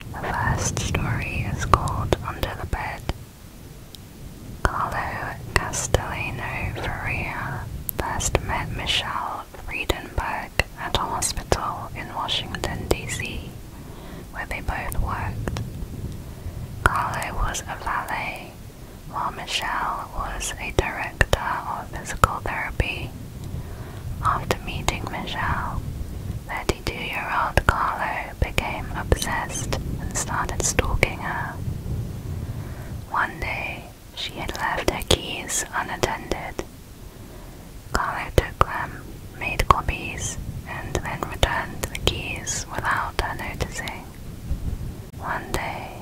The first story is called Under the Bed. Carlo Castellano Faria first met Michelle Friedenberg at a hospital in Washington, D.C., where they both worked. Carlo was a valet, while Michelle was a director of physical therapy. After meeting Michelle, their 22-year-old Carlo became obsessed and started stalking her. One day, she had left her keys unattended. Carlo took them, made copies, and then returned the keys without her noticing. One day,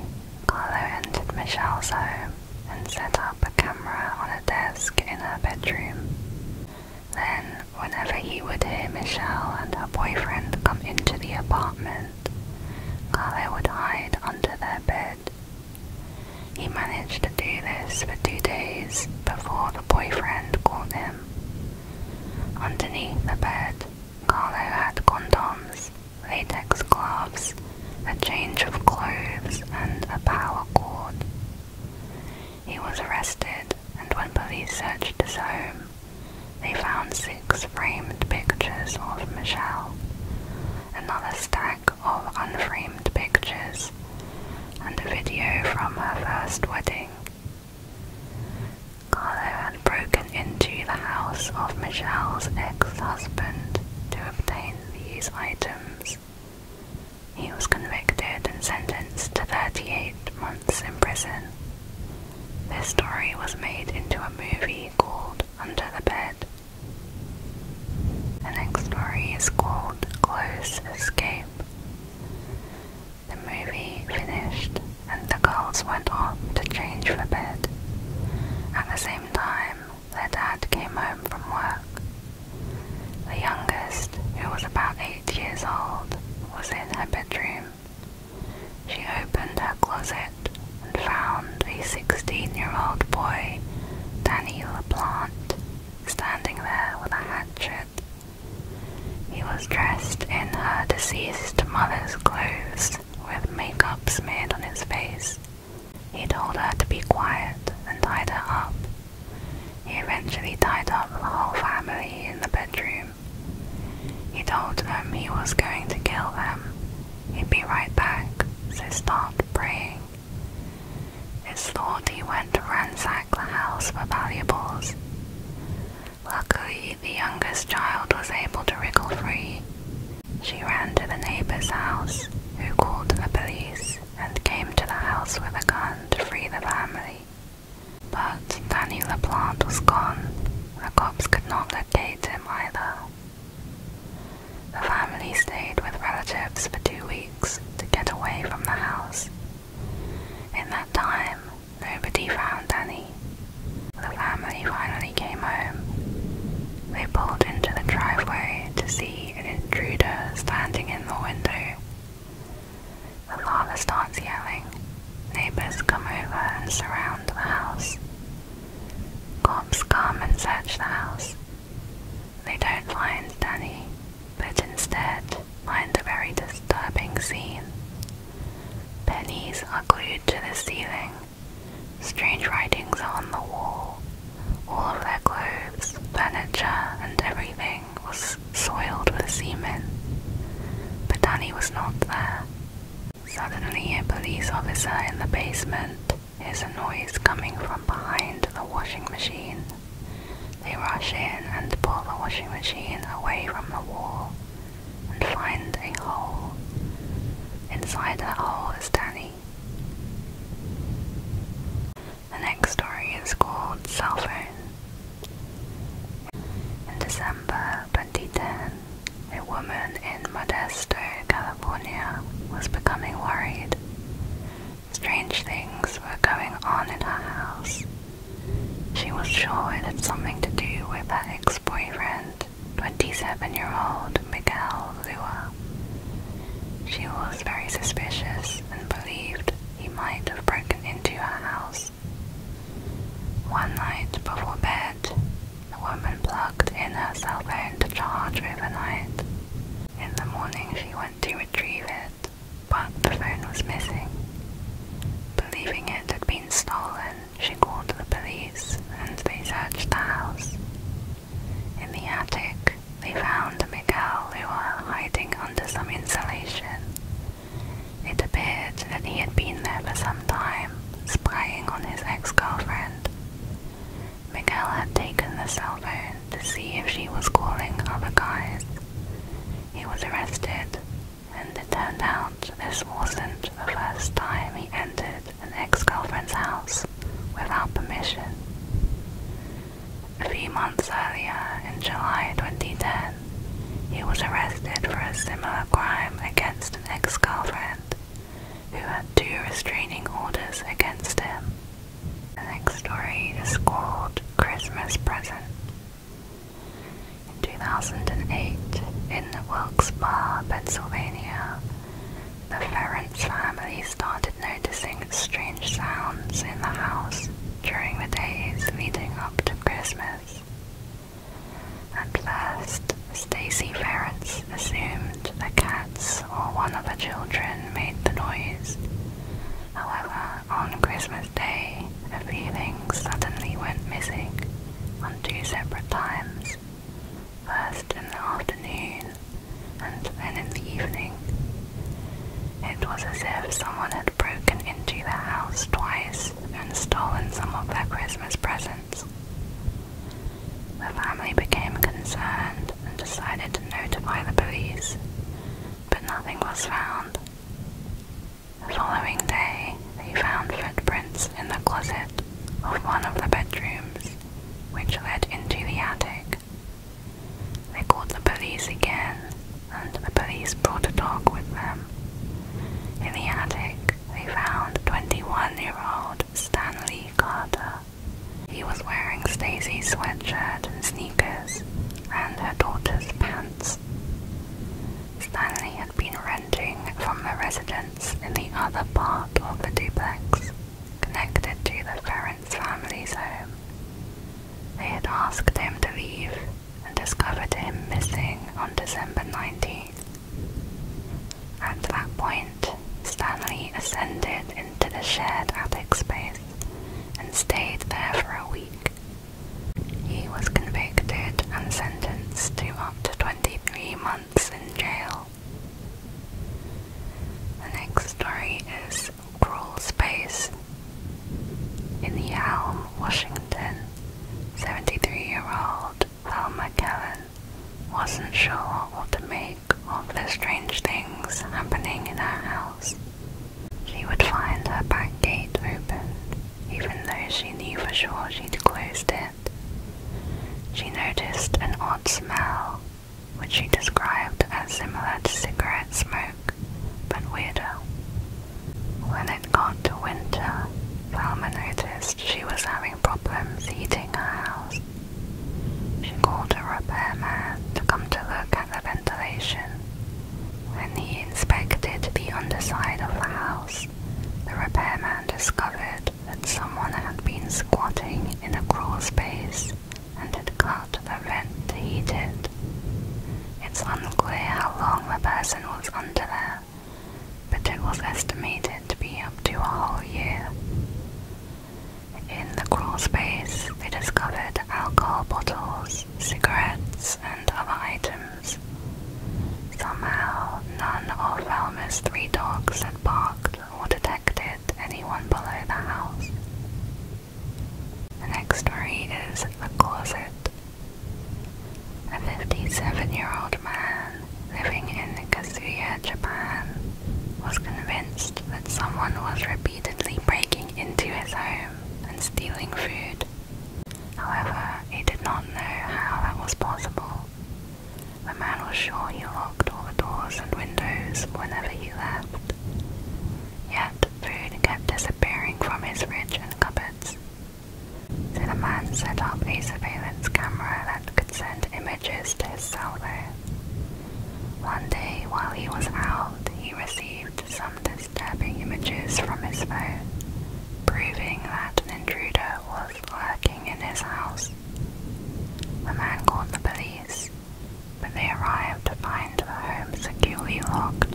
Carlo entered Michelle's home and set up a camera on a desk in her bedroom. Then, whenever he would hear Michelle and her boyfriend come into the apartment, Carlo would hide under their bed. He managed to do this for two days before the boyfriend caught him. Underneath the bed, Carlo had condoms, latex gloves, a change of clothes, and a power cord. He was arrested, and when police searched his home, they found six framed pictures of Michelle, another stack of unframed pictures, and a video from her first wedding. Carlo had broken into the house of Michelle's ex-husband to obtain these items. He was convicted and sentenced to 38 months in prison. This story was made into a movie called Under the Bed. The next story is called Close Escape. The movie finished, and the girls went off to change for bed. At the same time, their dad came home from work. The youngest, who was about eight years old, was in her bedroom. She opened her closet and found a 16 year old boy, Daniel LaPlante, standing there with a hatchet. He was dressed in her deceased mother's clothes with makeup smeared on his face. He told her to be quiet and tied her up he eventually tied up the whole family in the bedroom. He told them he was going to kill them. He'd be right back, so stopped praying. It's thought he went to ransack the house for valuables. Luckily, the youngest child was able to wriggle free. She ran to the neighbor's house, who called the police and came to the house with a gun to free the family. But Danny LeBlanc was gone. The cops could not locate him either. The family stayed with relatives for two weeks to get away from the house. In that time, nobody found Danny. The family finally came home. They pulled into the driveway to see an intruder standing in the window the father starts yelling. Neighbors come over and surround the house. Cops come and search the house. They don't find Danny, but instead find a very disturbing scene. Pennies are glued to the ceiling. Strange writings on the wall. All of their clothes, furniture, and everything was soiled with semen. But Danny was not there. Suddenly, a police officer in the basement hears a noise coming from behind the washing machine. They rush in and pull the washing machine away from the wall and find a hole. Inside the hole is Danny. The next story is called Cell Phone. In December 2010, a woman in Modesto, California was becoming worried. Strange things were going on in her house. She was sure it had something to do with her ex-boyfriend, 27-year-old Miguel Lua. She was very suspicious and believed he might have broken into her house. One night before bed, the woman plugged in her cellphone to charge overnight. In the morning, she went to retrieve it, but the phone was missing. Believing it had been stolen, she called the police and they searched the house. In the attic, they found Miguel who was hiding under some insulation. It appeared that he had been there for some time, spying on his ex-girlfriend. Miguel had taken the cell phone to see if she was calling other guys. He was arrested, and it turned out this wasn't the first time he entered an ex-girlfriend's house without permission. A few months earlier, in July 2010, he was arrested for a similar crime against an ex girlfriend who had two restraining orders against him. The next story is called Christmas Present. In 2008, in Wilkes-Barre, Pennsylvania, the Ference family started noticing strange sounds in the house during the days leading up to Christmas. At first, Stacy Ferrets assumed the cats or one of the children made the noise. However, on Christmas Day, the feelings suddenly went missing on two separate times. First in the afternoon and then in the evening. It was as if someone had broken into the house twice and stolen some of their Christmas presents. The family became concerned and decided to notify the police, but nothing was found. The following day, they found footprints in the closet of one of the bedrooms, which led into the attic. They called the police again, and the police brought a dog with them. In the attic, they found 21 year old Stanley Carter. He was wearing Stacy's sweatshirt and sneakers, and her daughter's pants. Stanley had been renting from the residence in the other part of the duplex, connected to the ferry family's home. They had asked him to leave and discovered him missing on December 19th. At that point, Stanley ascended into the shared attic space and stayed there for a week. He was convicted and sentenced to up to 23 months in jail the next story is Crawl Space. In the Elm, Washington, 73 year old Velma Kellen wasn't sure what to make of the strange things happening in her house. She would find her back gate open, even though she knew for sure she'd closed it. She noticed an odd smell which she described as similar to cigarette smoke, but weirder. When it got to winter, Velma noticed she was having problems heating her house. She called a repairman to come to look at the ventilation. When he inspected the underside of the house, the repairman discovered that someone had been squatting in a crawl space and it cut the rent he did. It's unclear how long the person was under there, but it was estimated to be up to a whole year. In the crawl space, they discovered alcohol bottles, cigarettes, and other items. Somehow, none of Velma's three dogs had barked or detected anyone below the house. The next story is The Closet. A 57 year old man living in Kazuya, Japan, was convinced that someone was repeatedly breaking into his home and stealing food. However, he did not know how that was possible. The man was sure he locked all the doors and windows whenever he left. Yet food kept disappearing from his fridge and cupboards. So the man set up a surveillance camera that could send images to his cell phone. One day, while he was out, he received some disturbing images from his phone, proving that an intruder was lurking in his house. The man called the police, but they arrived to find the home securely locked.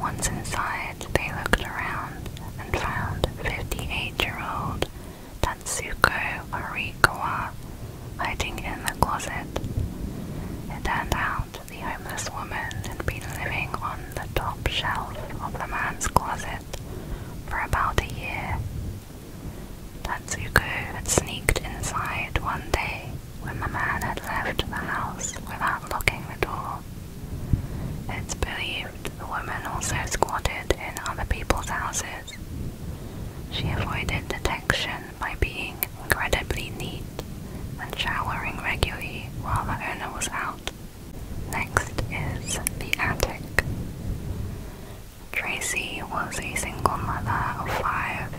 Once inside, they looked around and found 58-year-old Tatsuko Arikawa hiding in the closet. It turned out the homeless woman had been living on the top shelf of the man's closet for about a year Tatsuko had sneaked inside one day when the man had left the house without locking the door. It's believed the woman also squatted in other people's houses. She avoided detection by being incredibly neat and showering regularly while the owner was out. Next is the attic. Tracy was a single mother of five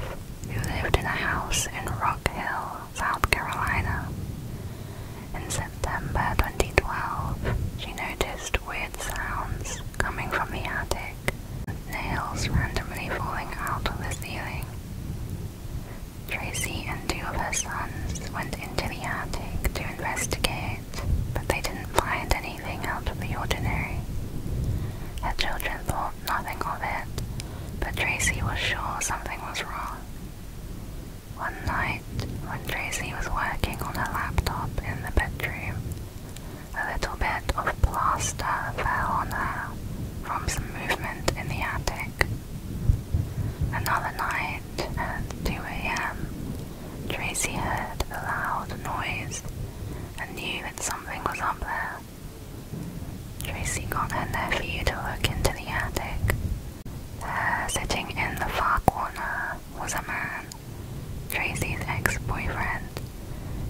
who lived in a house in Rock Hill, South Carolina. In September 2012, she noticed weird sounds coming from the attic, nails randomly falling out of the ceiling. Tracy and two of her sons went into the attic to investigate but they didn't find anything out of the ordinary. Her children thought nothing of it, but Tracy was sure something was wrong. One night, when Tracy was working on her laptop in the bedroom, a little bit of plaster fell on her from some movement in the attic. Another night, at 2 a.m., Tracy heard a loud noise and knew that something was up there. Tracy got her nephew to look into the attic. sitting in the far corner, was a man, Tracy's ex-boyfriend,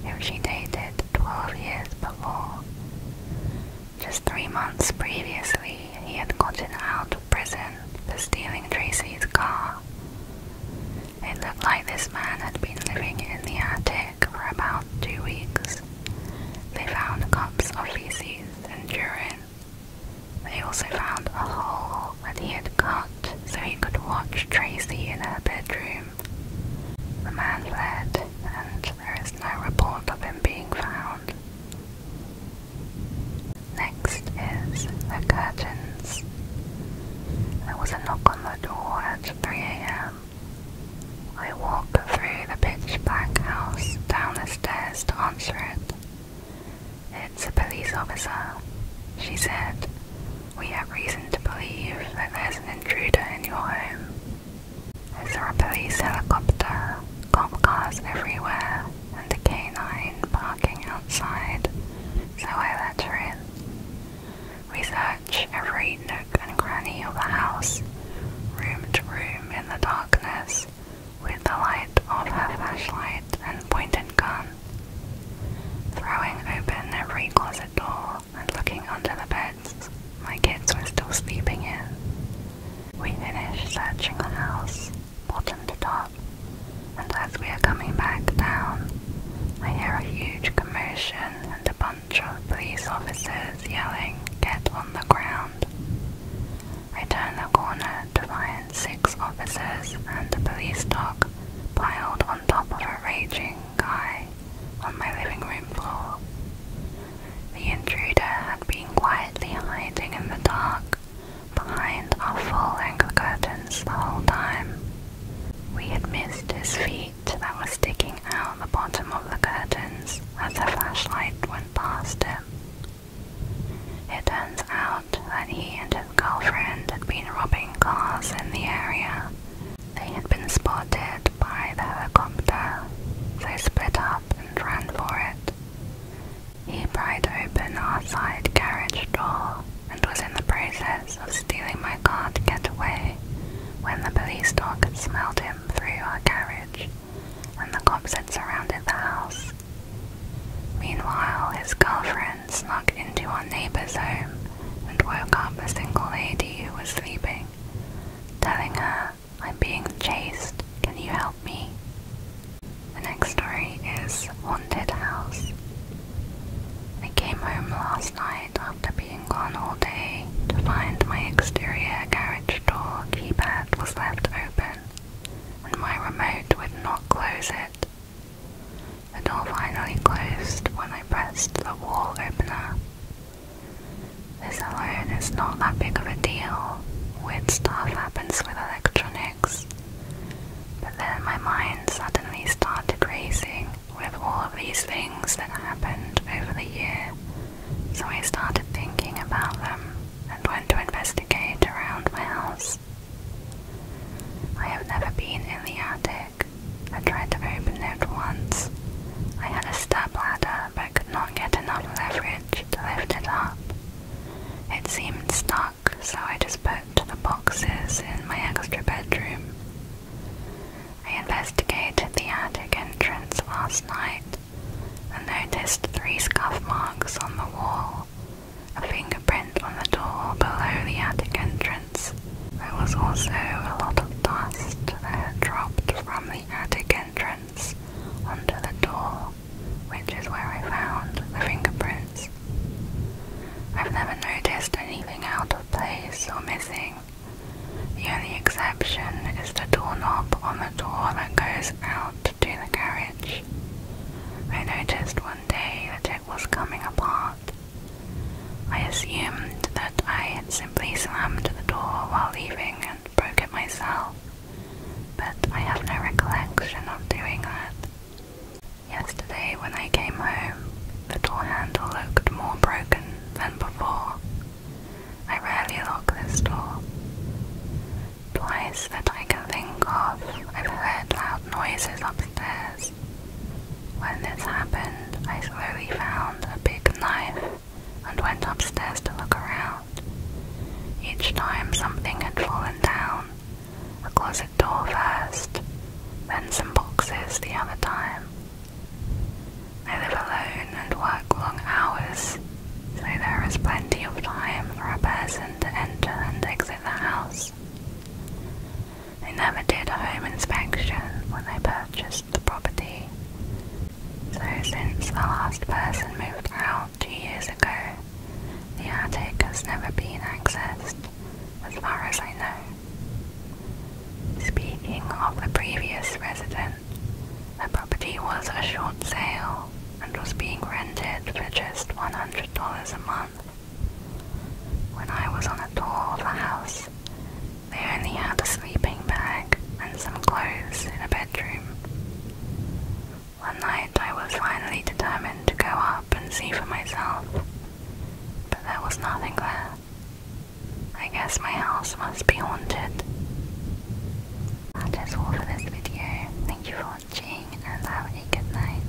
whom she dated 12 years before. Just three months previously, he had gotten out of prison for stealing Tracy's car. It looked like this man had been living in the attic for about two weeks. They found cups of feces and urine. They also found a hole that he had cut so he could watch Tracy in her bedroom. The man fled, and there is no report of him being found. Next the curtains. There was a knock on the door at 3 a.m. I walked through the pitch black house down the stairs to answer it. It's a police officer, she said. We have reason to believe that there's an intruder in your home. Is there a police helicopter, cop cars everywhere, and a canine parking outside? so I let her in. We search every nook and cranny of the house, room to room in the darkness, with the light of her flashlight and pointed gun, throwing open every closet door and looking under the beds. My kids were still sleeping in. We finished searching the house, bottom to top, and as we are coming back down, I hear a huge commotion and a bunch of police officers yelling, Get on the ground. I turn the corner to find six officers and a police dog piled on top of a raging guy on my living room floor. The intruder had been quietly hiding in the dark behind our full ankle curtains the whole time. We had missed his feet that were sticking out the bottom of the curtains as the flashlight went past him. It turns out that he and his girlfriend had been robbing cars in the area. They had been spotted by the helicopter, so split up and ran for it. He pried open our side carriage door and was in the process of stealing my car to get away when the police dog had smelled him through our carriage and the cops had surrounded the house. Meanwhile, his girlfriend snuck into our neighbor's home and woke up a single lady who was sleeping, telling her, I'm being chased, can you help me? The next story is Haunted House. I came home last night after being gone all day to find my exterior garage door keypad was left open and my remote would not close it. The door finally closed when I pressed the wall opener. This alone is not that big of a deal. Weird stuff happens with electronics but then my mind suddenly started racing with all of these things that happened over the year, so I started thinking about them and went to investigate around my house. I have never been in the attic. I tried to open it once. I had a step ladder but could not get enough leverage to lift it up. It seemed stuck, so I just put the boxes in my extra bedroom. I investigated the attic entrance last night and noticed three scuff marks on the wall, a fingerprint on the door below the attic entrance. There was also a lot of dust that had dropped from the attic entrance onto the door, which is where I found the fingerprints. I've never noticed anything out of place or missing. The only exception is the doorknob on the door that goes out to the carriage. I noticed one day that it was coming apart. I assumed that I had simply slammed the door while leaving and broke it myself, but I have no recollection of doing that. Yesterday, when I came home, the door handle looked more broken than before. I rarely lock this door. Twice that I can think of, I've heard loud noises upstairs. When this happened, I slowly found a big knife and went upstairs to look around. Each time something had fallen down, a closet door first, then some boxes the other time. I live alone and work long hours, so there is plenty of time for a person to enter and exit the house. They never did a home inspection when they purchased the property, so since the last person moved out two years ago, the attic has never been accessed, as far as I know. Speaking of the previous resident, the property was a short sale and was being rented for just $100 a month. When I was on the tour of the house, they only had a sleeping bag and some clothes in a bedroom. One night I was finally determined to go up and see for myself, but there was nothing there. I guess my house must be haunted. That is all for this video. Thank you for watching and have a good night.